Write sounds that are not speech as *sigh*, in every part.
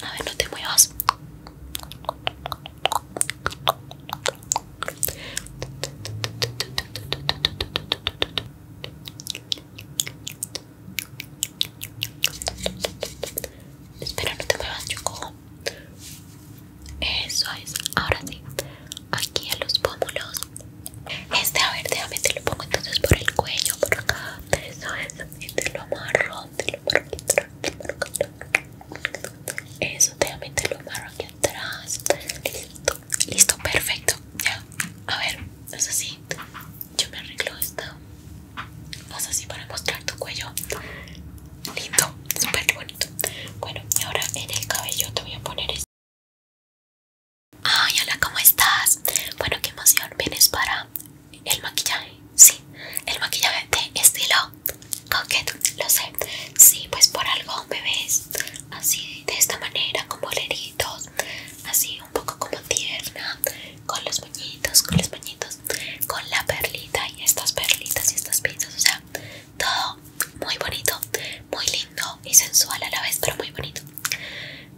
A ver, no te muevas. Espera, no te muevas, yo cojo. Eso es, ahora sí. Aquí a los pómulos. Este, a ver, déjame te lo pongo entonces por el cuello, por acá. Eso es, te lo amarro, te lo amarro aquí atrás, te Eso también te lo amarro aquí atrás. Listo, listo, perfecto. Ya, a ver, es así. Yo me arreglo esto. Haz así para mostrar tu cuello. Lindo, súper bonito. Bueno, y ahora en el cabello te voy a poner esto. Ay, hola, ¿cómo estás? Bueno, qué emoción. ¿Vienes para el maquillaje? Sí, el maquillaje de estilo coquette. lo sé. Sí, pues por algo me ves así, de esta manera, con boleritos, así un poco como tierna, con los moñitos, con los bañitos con la perlita y estas perlitas y estas pinzas, o sea, todo muy bonito, muy lindo y sensual a la vez, pero muy bonito.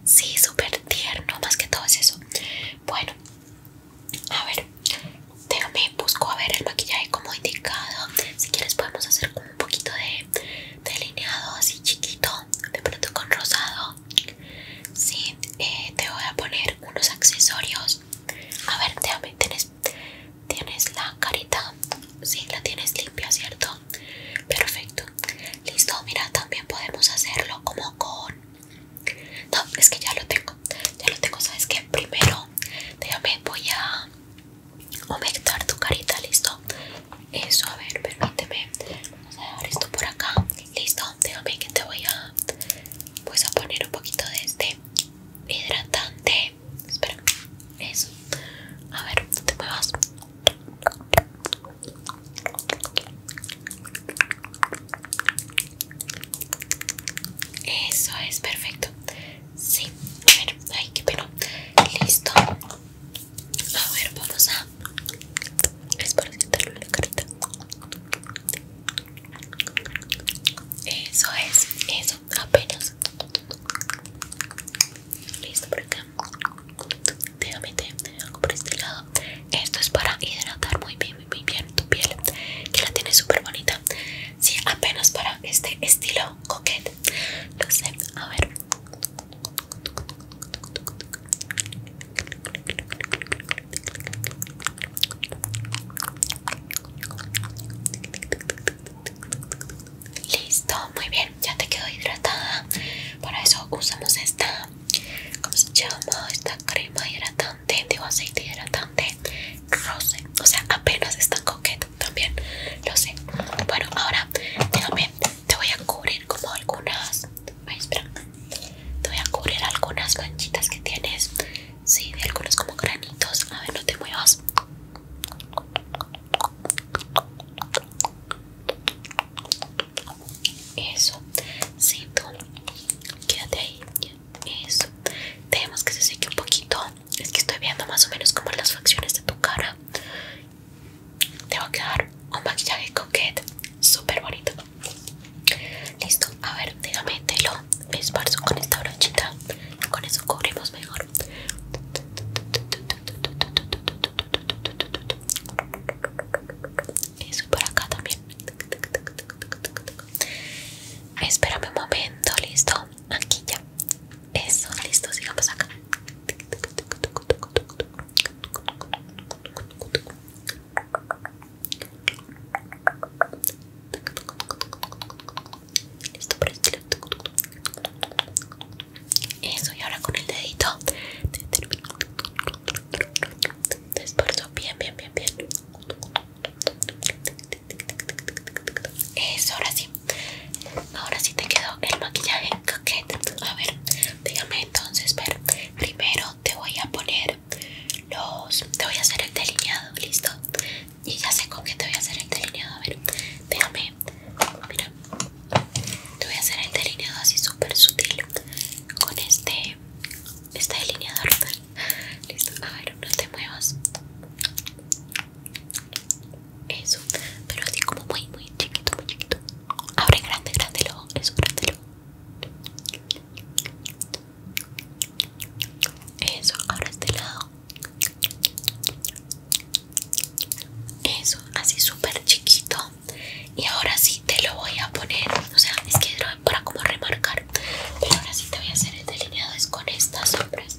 Sí, súper tierno, más que todo es eso. Bueno, a ver, déjame, busco a ver el maquillaje como indicado. Si quieres podemos hacer como un poquito de delineado así chiquito, de pronto con rosado. Sí, eh, te voy a poner unos accesorios. A ver, déjame, tienes, tienes la carita, sí, la tienes limpia, ¿cierto? Perfecto, Listo, mira, también podemos hacerlo como con... No, es que ya lo tengo, ya lo tengo, ¿sabes qué? Primero, déjame, voy a humectar tu carita, ¿listo? Eso, a ver, permíteme. Vamos a dejar esto por acá. Listo, déjame que te voy a... Pues a poner un poquito de este hidratante. Espera, eso. A ver, no te muevas. Eso es perfecto. Sí, a ver, ay, qué pena. Listo. A ver, vamos a es para esparcitarle la carita. Eso es, eso, apenas. Listo por acá déjame algo por este lado esto es para hidratar muy bien muy, bien tu piel que la tienes súper bonita sí apenas para este estilo coquete Lo sé a ver listo muy bien, ya te quedo hidratada. Para eso usamos esta, ¿cómo se llama? Esta crema hidratante, digo aceite hidratante rose. O sea, apenas está coqueto también, lo sé. Bueno, ahora te voy a cubrir como algunas. Te voy a cubrir algunas manchitas que tienes. Sí, de algunos como granitos. A ver, no te muevas. Eso, siento, quédate ahí. Eso, tenemos que se seque un poquito. Es que estoy viendo más o menos como las facciones de tu cara. Te va a quedar un maquillaje coquete, súper bonito. Listo, a ver, déjame te lo esparzo con esta brochita. Con eso cubrimos mejor. Y Eso para por acá también. Espérame un momento, listo. Aquí ya. Eso, listo, sigamos acá. Listo para este eso, y ahora con el dedito te esfuerzo bien, bien, bien, bien. Eso, ahora sí. Ahora sí te quedó el maquillaje A ver, déjame entonces Primero te voy a poner los. Te voy a hacer el delineado, listo. Y ya sé con qué te voy a hacer el delineado. A ver, déjame Mira, te voy a hacer el delineado así súper sutil con este, este delineador. *laughs* Listo, a ver, no te muevas. Eso, pero así como muy, muy chiquito, muy chiquito. Abre grande, grande es eso, grande Eso, abre este lado eso, así súper chiquito. Y ahora sí te lo voy a poner. O sea, es que es para como remarcar. Pero ahora sí te voy a hacer el delineado. Es con estas sombras.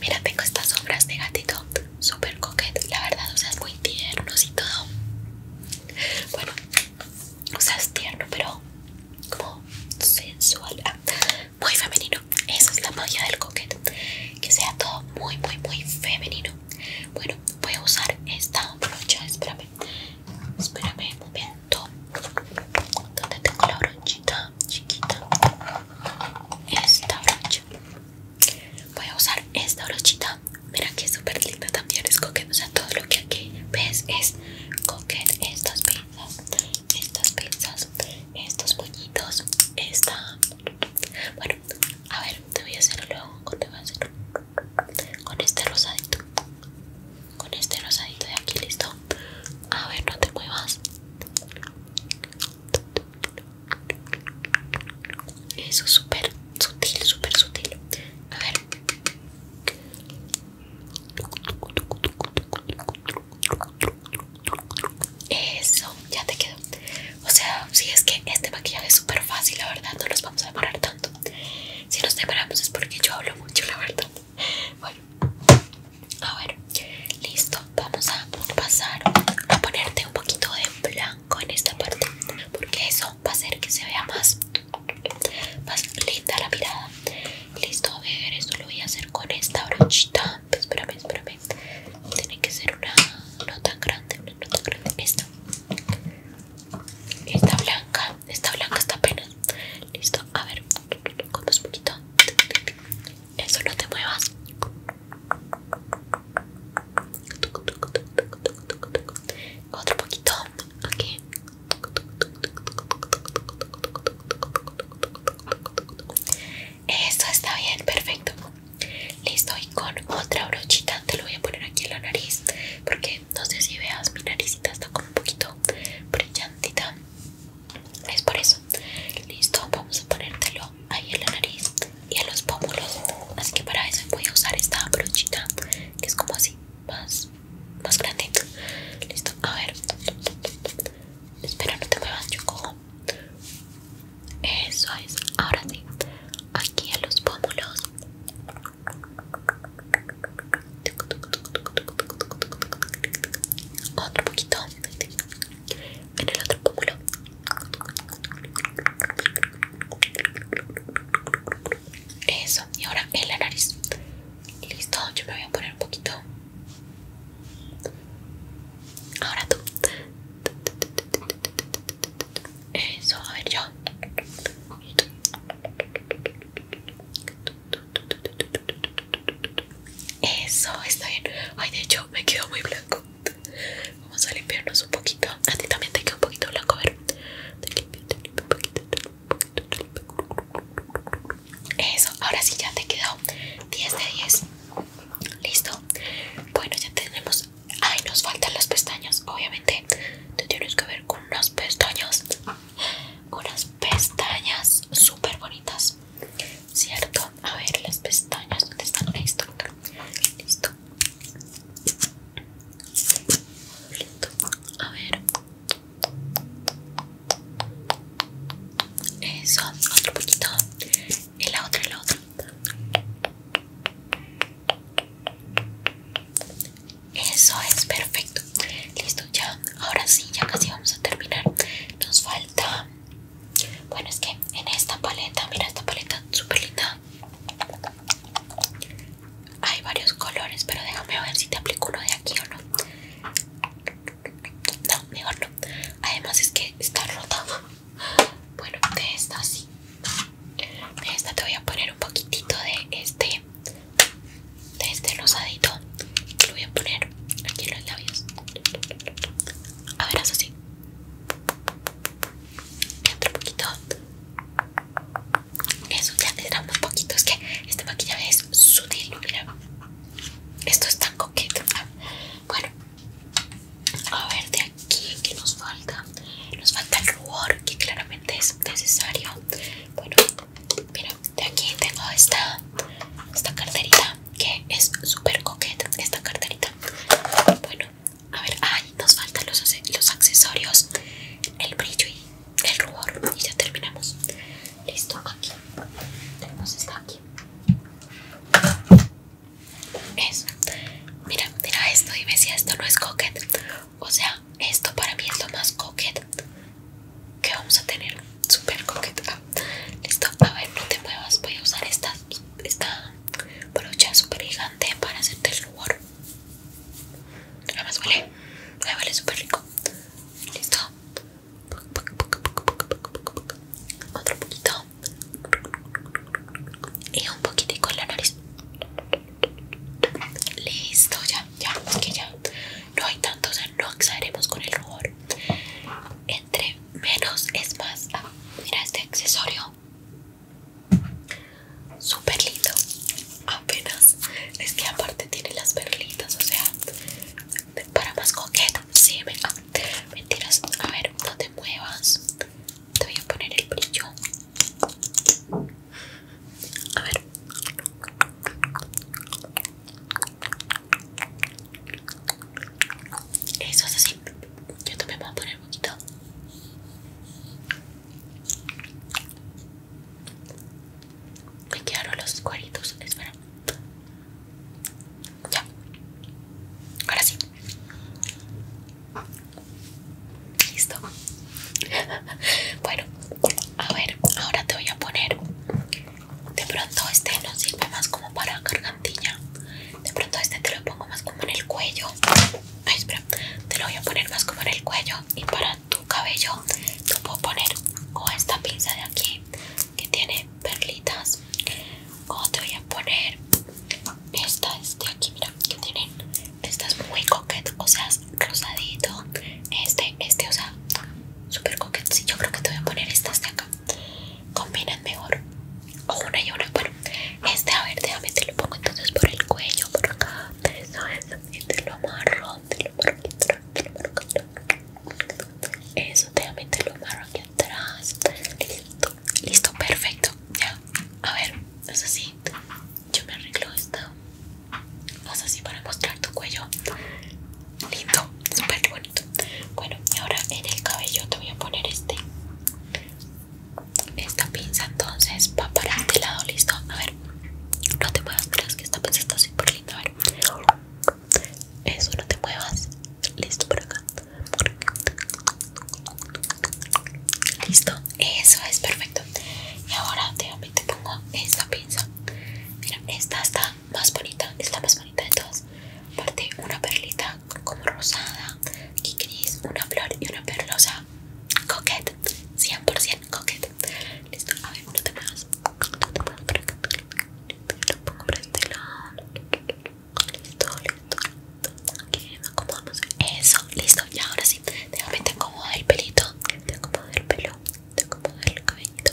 Mira, tengo estas sombras de gatito. Súper coquete. La verdad, o sea, es muy tierno y todo. Bueno, o sea, es tierno, pero como sensual. Ah, muy femenino. Esa es la magia del coquete que sea todo muy muy muy femenino bueno voy a usar esta brocha espérame espérame un momento donde tengo la brochita chiquita esta brocha voy a usar esta brochita mira que es súper linda también es a todo lo que aquí ves es coquet estas pinzas estas pinzas estos puñitos esta bueno, a ver, te voy a hacer luego con te voy a hacer con este rosadito. Con este rosadito de aquí, listo. A ver, no te muevas. Eso es súper sutil, súper sutil. A ver. Eso, ya te quedó. O sea, si es que este maquillaje es súper fácil, la verdad, no los vamos a demorar tanto. Si nos demoramos es porque yo hablo mucho, la verdad. Bueno, a ver, listo. Vamos a pasar a ponerte un poquito de blanco en esta parte, porque eso va a hacer que se vea más, más linda la mirada. Listo, a ver, esto lo voy a hacer con esta brochita. Espérame, espérame tiene que ser una no tan grande una no tan grande listo esta blanca esta blanca está apenas listo a ver con un poquito eso no te muevas otro poquito aquí esto está bien, perfecto. Listo, y con otra brochita te lo voy a poner aquí en la nariz. Porque no sé si veas, mi naricita está como un poquito brillantita. Es por eso. Listo, vamos a ponértelo ahí en la nariz y en los pómulos. Así que para eso voy a usar esta brochita que es como así, más, más grande. Listo, a ver. Espera, no te muevas, yo cojo eso es, ahora sí, aquí en los pómulos. Otro poquito en el otro pómulo. Eso, y ahora en la nariz. Listo, yo me voy a poner un poquito Ahora tú. Eso, a ver yo. Eso, está bien. Ay, de hecho, me quedo muy blanco. Vamos a limpiarnos un poquito. A ti también te queda un poquito blanco, a ver. Te limpio, te limpio un poquito, Eso, ahora sí ya te quedó 10 de 10. Listo. Bueno, ya tenemos. Ay, nos faltan las pestañas. Obviamente, te tienes que ver con unas pestañas. Unas pestañas súper bonitas. ¿Cierto? A ver, las pestañas. donde están? Listo. Listo. A ver. Eso, otro poquito el otro el y eso es perfecto listo ya ahora sí ya casi vamos a terminar nos falta bueno es que en esta paleta mira esta paleta súper linda hay varios colores pero déjame ver si te aplico uno de aquí o no no, mejor no. Además es que está rota. Bueno, de esta sí. De esta te voy a poner un poquitito de este. De este rosadito. Lo voy a poner aquí en los labios. A ver, eso así. Y otro poquito. Eso ya te da un poquito. Es que este maquillaje es sutil, mira. Esto es tan coqueto. Bueno, a ver de aquí que nos falta. Nos falta el rubor que claramente es necesario. Bueno, mira, de aquí tengo esta, carterita que es súper coqueta. Esta carterita. Bueno, a ver, nos faltan los accesorios, el brillo y el rubor. Y ya terminamos. Listo, aquí tenemos esta aquí. es Mira, mira esto y ve si esto no es coquet. O sea, esto para mí es lo más coquet que vamos a tener. Super coquet. Ah, listo, a ver, no te muevas. Voy a usar esta, esta brocha super gigante para hacerte el rubor. Nada más huele. Me súper rico. Listo. Otro poquito. Y un poquitico en la nariz. Listo, ya, ya, es que ya. No hay tanto, o sea, no exageremos con el rubor. Entre menos es más. Ah, mira este accesorio. Súper lindo. Apenas. Es que aparte tiene las perlitas, o sea, para más coqueta. Sí, me Mentiras, a ver, no te muevas. Te voy a poner el brillo. A ver. Eso es así. Yo también voy a poner un poquito. Me quedaron los cuadritos. Espera. Ya. Ahora sí. Listo. *laughs* Bueno, a ver, ahora te voy a poner. De pronto este no sirve más como para gargantilla. De pronto este te lo pongo más como en el cuello. Ay, espera. Te lo voy a poner más como en el cuello. Y para tu cabello te puedo poner con esta pinza de aquí que tiene perlitas o te voy a poner Esta, este de aquí mira que tienen estas muy coquet o sea rosadito este este o sea super coquet sí, yo creo que te voy a poner estas de acá combinan mejor o una y una bueno este a ver déjame te lo pongo entonces por el cuello por acá eso es y te lo amarro te lo eso, déjame te lo malo aquí atrás. Listo, listo, perfecto. Ya, a ver, haz así. Yo me arreglo esto Haz así para mostrar tu cuello. Lindo, súper bonito. Bueno, y ahora en el cabello te voy a poner este. Esta pinza entonces va para este lado, listo. A ver, no te muevas atrás que esta pinza está súper linda. A ver. Eso, no te muevas. Listo por acá. Listo. Eso es perfecto. Y ahora déjame te pongo esta pinza. Mira, esta está más bonita. Es la más bonita de todas. parte una perlita como rosada. Aquí gris, una flor y una perlosa. coquette 100% coquete. Listo. A ver, no te muevas lo pongo listo, listo, listo acomodamos eso, listo, y ahora sí déjame te el pelito te acomodo el pelo, te acomodo el cabellito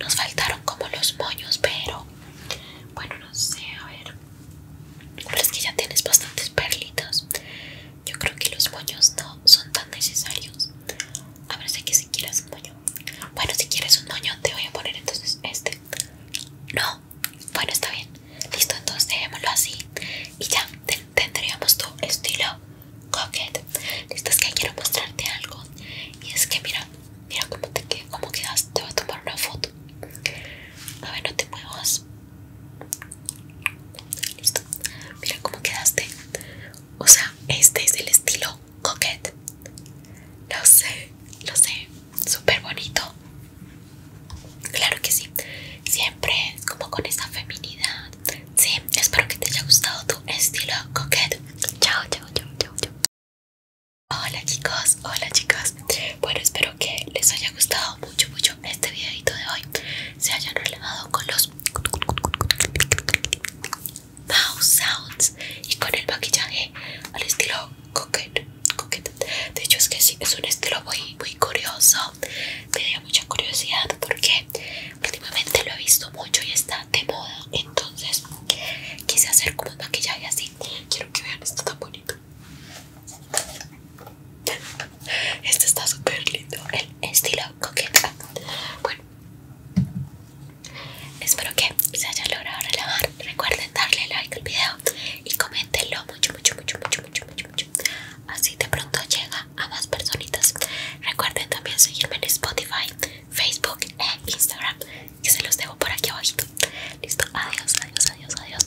nos faltaron como los moños pero, bueno no sé, a ver es que ya tienes bastantes perlitas yo creo que los moños no son tan necesarios a ver, sé que si quieres un moño. Bueno, si quieres un moño, te voy a poner entonces este. No, bueno, está bien. Listo, entonces dejémoslo así. Y ya tendríamos tu estilo coquet Listo, es que quiero mostrarte algo. Y es que mira, mira cómo te Te voy a tomar una foto. A ver, no te muevas. Listo, mira cómo quedaste. O sea, este es el estilo coquette. Lo sé, lo sé, súper bonito. Claro que sí, siempre es como con esa feminidad. Sí, espero que te haya gustado tu estilo coquette. Chao, chao, chao, chao, chao. Hola chicos, hola chicas. Bueno, espero que les haya gustado mucho, mucho este videito de hoy. Se hayan relajado con los mouth sounds y con el maquillaje al estilo coquette, de hecho es que sí, es un estilo muy, muy curioso me mucha curiosidad porque últimamente lo he visto mucho y está de moda entonces quise hacer como un maquillaje así quiero que vean esto tan bonito este está súper lindo el estilo coqueta bueno Espero que se haya logrado relajar. Recuerden darle like al video y coméntenlo mucho, mucho, mucho, mucho, mucho, mucho, Así de pronto llega a más personitas. Recuerden también seguirme en Spotify, Facebook e Instagram, que se los dejo por aquí abajito. Listo, adiós, adiós, adiós, adiós.